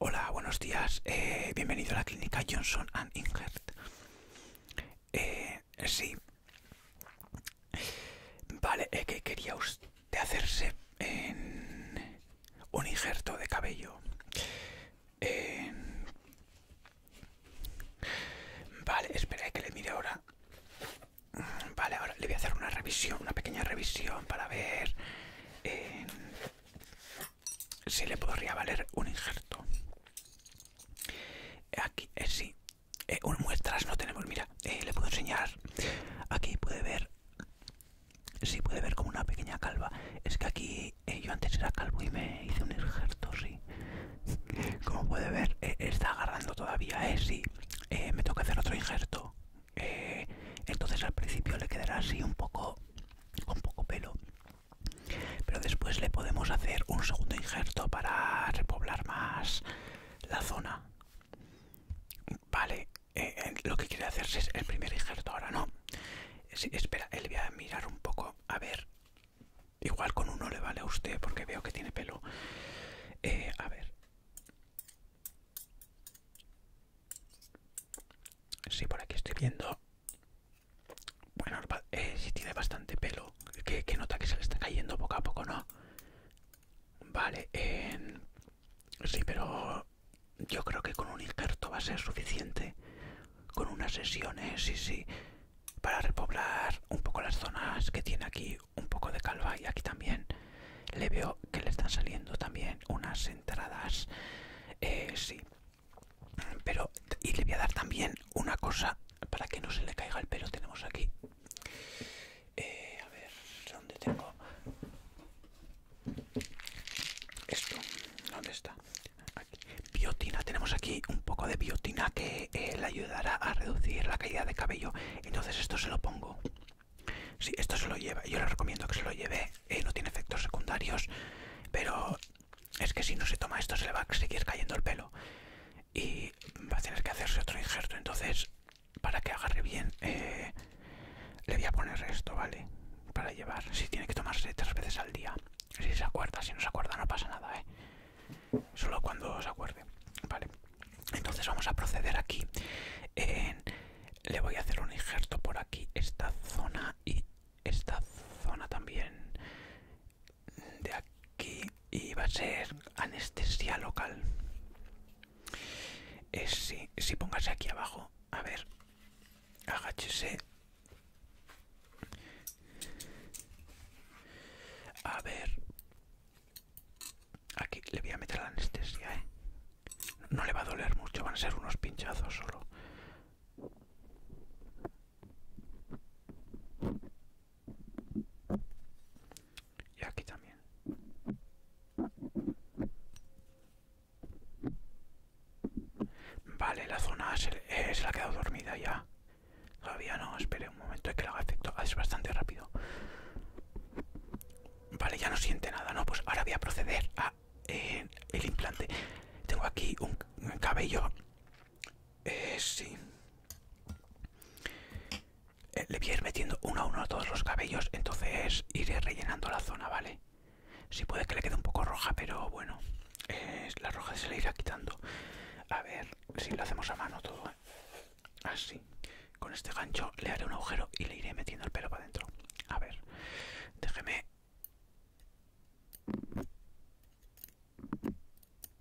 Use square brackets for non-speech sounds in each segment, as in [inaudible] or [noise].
Hola, buenos días. Eh, bienvenido a la clínica Johnson and Ingert. Eh, sí. Vale, ¿qué que quería usted hacerse en un injerto de cabello. Em, vale, espera que le mire ahora. Vale, ahora le voy a hacer una revisión, una pequeña revisión para ver em, si le podría valer un injerto. Aquí, eh, sí, eh, Un muestras no tenemos, mira, eh, le puedo enseñar. Aquí puede ver si puede ver como una pequeña calva. Es que aquí eh, yo antes era calvo y me hice un injerto, sí. [laughs] Como puede ver, eh, está agarrando todavía, ¿eh? Sí, eh, me toca hacer otro injerto. entonces al principio le quedará así un poco, con poco pelo. Pero después le podemos hacer un segundo injerto para repoblar más la zona. Vale, eh, lo que quiere hacerse es el primer injerto ahora no espera él voy a mirar un poco a ver igual con uno le vale a usted porque veo que tiene pelo eh, a ver sí, por aquí estoy viendo bueno eh, si tiene bastante pelo que, nota que se le está cayendo poco a poco no vale sí pero yo creo que con un injerto va a ser suficiente. Con unas sesiones, sí, sí. Para repoblar un poco las zonas que tiene aquí un poco de calva y aquí también. Le veo que le están saliendo también unas entradas. Eh, sí. Pero, y le voy a dar también una cosa para que no se le caiga el pelo. Tenemos aquí eh, a ver dónde tengo esto dónde está biotina tenemos aquí un poco de biotina que eh, le ayudará a reducir la caída de cabello entonces esto se lo pongo sí, esto se lo lleva yo le recomiendo que se lo lleve eh, no tiene efectos secundarios pero es que si no se toma esto se le va a seguir cayendo el pelo y va a tener que hacerse otro injerto entonces para que agarre bien eh, le voy a poner esto, ¿vale? Para llevar, si tiene que tomarse tres veces al día Si se acuerda, si no se acuerda no pasa nada, ¿eh? Solo cuando se acuerde, ¿vale? Entonces vamos a proceder aquí en, Le voy a hacer un injerto por aquí, esta zona y esta zona también De aquí y va a ser anestesia local es si, si aquí abajo, a ver, agáchese. A ver, aquí le voy a meter la anestesia, ¿eh? no le va a doler mucho, van a ser unos pinchazos solo y aquí también vale la zona se, la eh, ha quedado dormida ya todavía no espere un momento que lo haga efecto es bastante rápido vale ya no siente nada no pues ahora voy a proceder a eh, el implante tengo aquí un, cabello eh, sí eh, le voy a ir metiendo uno a uno a todos los cabellos, entonces iré rellenando la zona, ¿vale? Si puede que le quede un poco roja, pero bueno, la roja se la irá quitando. A ver si lo hacemos a mano todo, ¿eh? Así. Con este gancho le haré un agujero y le iré metiendo el pelo para adentro. A ver, déjeme...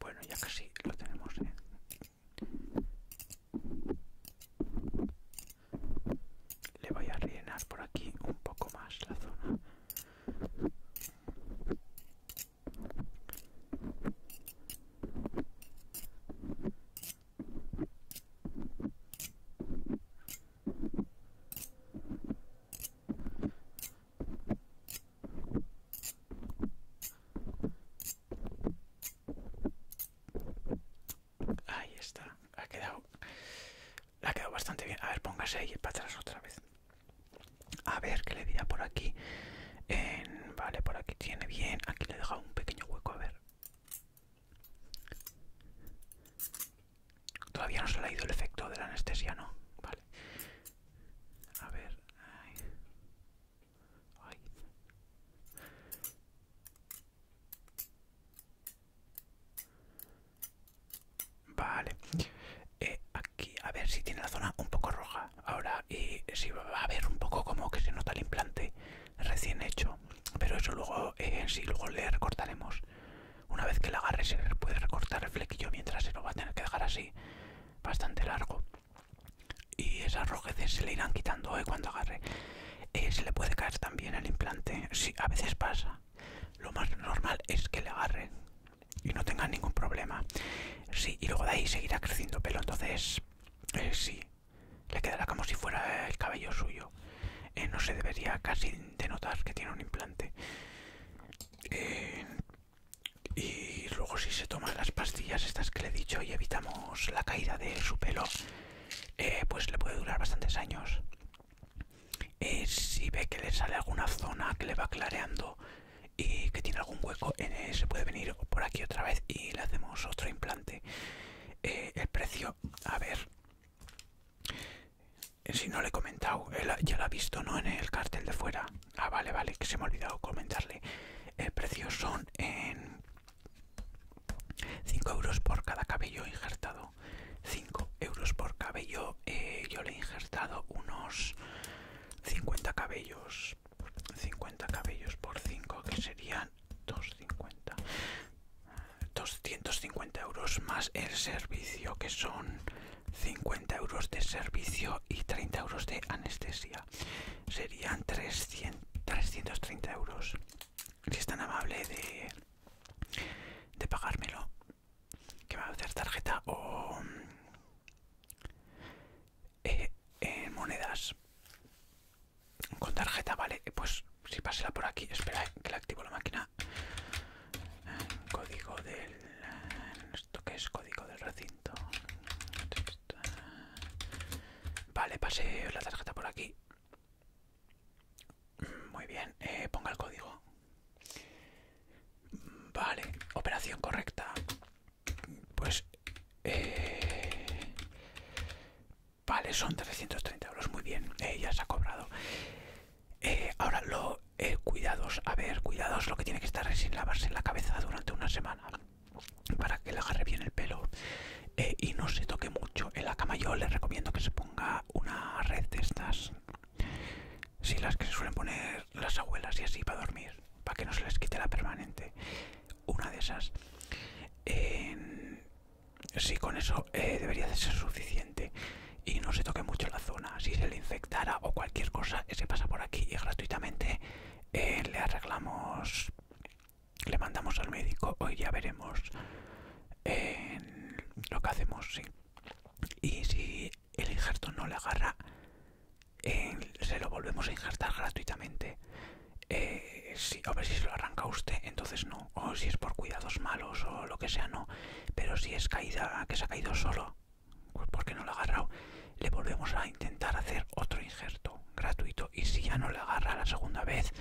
Bueno, ya casi lo tenemos, ¿eh? Le voy a rellenar por aquí un poco más la zona. Ahí está, ha quedado, ha quedado bastante bien. A ver, póngase ahí para atrás otra vez. A ver, ¿qué le veía por aquí? En, vale, por aquí tiene bien. Aquí le he dejado un pequeño hueco, a ver. Todavía no se le ha ido el efecto de la anestesia, ¿no? Vale. A ver. Ay. Ay. Vale. Eh, aquí, a ver si tiene la zona un poco roja ahora y si va a ver un poco como que se nota el implante recién hecho. Pero eso luego, eh, en si sí, luego le recortaremos. Una vez que le agarre se puede recortar el flequillo mientras se lo va a tener que dejar así, bastante largo. Y esas rojeces se le irán quitando eh, cuando agarre. Eh, se le puede caer también el implante, sí, a veces pasa. Lo más normal es que le agarre y no tengan ningún problema. Sí, y luego de ahí seguirá creciendo pelo, entonces eh, sí, le quedará como si fuera el cabello suyo. Eh, no se debería casi denotar que tiene un implante. Eh, y luego si se toman las pastillas estas que le he dicho y evitamos la caída de su pelo, pues le puede durar bastantes años. Eh, si ve que le sale alguna zona que le va clareando y que tiene algún hueco, se puede venir por aquí otra vez y le hacemos otro implante. Eh, el precio, a ver, eh, si no le he comentado, ya lo ha visto, ¿no? En el cartel de fuera. Ah, vale, vale, que se me ha olvidado comentarle. El precio son en 5 euros por cada cabello injertado. 5 euros por cabello. Eh, yo le he injertado unos 50 cabellos. 50 cabellos por 5 que serían 250. 250 euros más el servicio que son 50 euros de servicio y 30 euros de anestesia serían 300, 330 euros si es tan amable de, de pagármelo que me va a hacer? ¿Tarjeta o eh, eh, monedas? Con tarjeta, vale. Pues si pasela por aquí, espera eh, que la activo la máquina. Código del. ¿Esto que es? Código del recinto. Vale, pasé la tarjeta por aquí. Muy bien, eh, ponga el código. Vale, operación correcta. Pues... Eh, vale, son 330 euros. Muy bien, eh, ya se ha cobrado. ahora, lo, cuidados, a ver, cuidados, lo que tiene que estar es sin lavarse la cabeza durante una semana para que le agarre bien el pelo y no se toque mucho. En la cama yo les recomiendo que se ponga una red de estas si las que se suelen poner las abuelas y así para dormir, para que no se les quite la permanente. Una de esas. sí, con eso eh, debería de ser suficiente y no se toque mucho la zona. Si se le infectara o cualquier cosa, se pasa por aquí y gratuitamente eh, le arreglamos, le mandamos al médico. Hoy ya veremos eh, lo que hacemos, sí y si el injerto no le agarra se lo volvemos a injertar gratuitamente eh, si, a ver si se lo arranca usted entonces no o si es por cuidados malos o lo que sea no pero si es caída que se ha caído solo pues porque no lo ha agarrado le volvemos a intentar hacer otro injerto gratuito y si ya no le agarra la segunda vez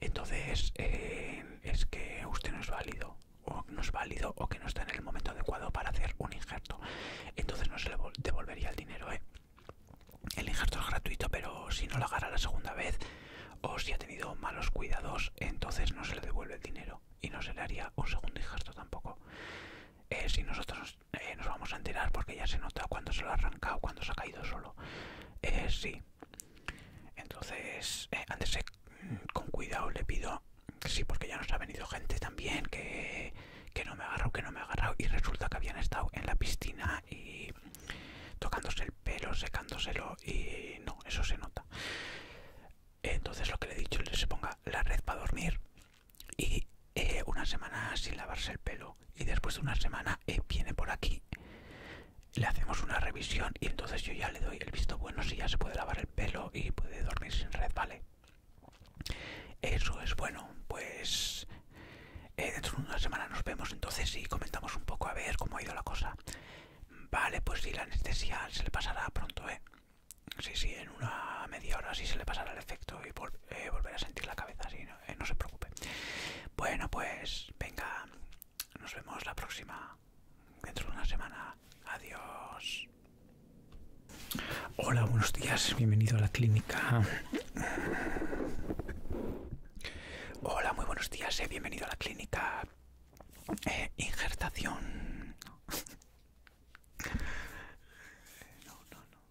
entonces eh, es que usted no es válido o no es válido o que no está en el momento adecuado para hacer un injerto. Entonces no se le devolvería el dinero, ¿eh? El injerto es gratuito, pero si no lo agarra la segunda vez o si ha tenido malos cuidados, entonces no se le devuelve el dinero y no se le haría un segundo injerto tampoco. Eh, si nosotros nos vamos a enterar porque ya se nota cuando se lo ha arrancado, cuando se ha caído solo. sí, entonces, eh, antes mm, con cuidado le pido sí, porque ya nos ha venido gente también que, que no me ha agarrado, que no me ha agarrado. Y resulta que habían estado en la piscina y tocándose el pelo, secándoselo y no, eso se nota. Entonces lo que le he dicho es que se ponga la red para dormir y eh, una semana sin lavarse el pelo y después de una semana eh, viene por aquí le hacemos una revisión y entonces yo ya le doy el visto bueno si ya se puede lavar el pelo y puede dormir sin red, ¿vale? Eso es bueno, pues eh, dentro de una semana nos vemos entonces y comentamos un poco a ver cómo ha ido la cosa. Vale, pues si la anestesia se le pasará pronto, ¿eh? Sí, sí, en una media hora sí se le pasará el efecto y eh, volverá a sentir la cabeza, sí, no eh, se preocupe. Bueno, pues venga, nos vemos la próxima. Dentro de una semana. Adiós. Hola, buenos días. Bienvenido a la clínica. Hola, muy buenos días. Eh. Bienvenido a la clínica. Eh, injertación. [laughs] No, no, no.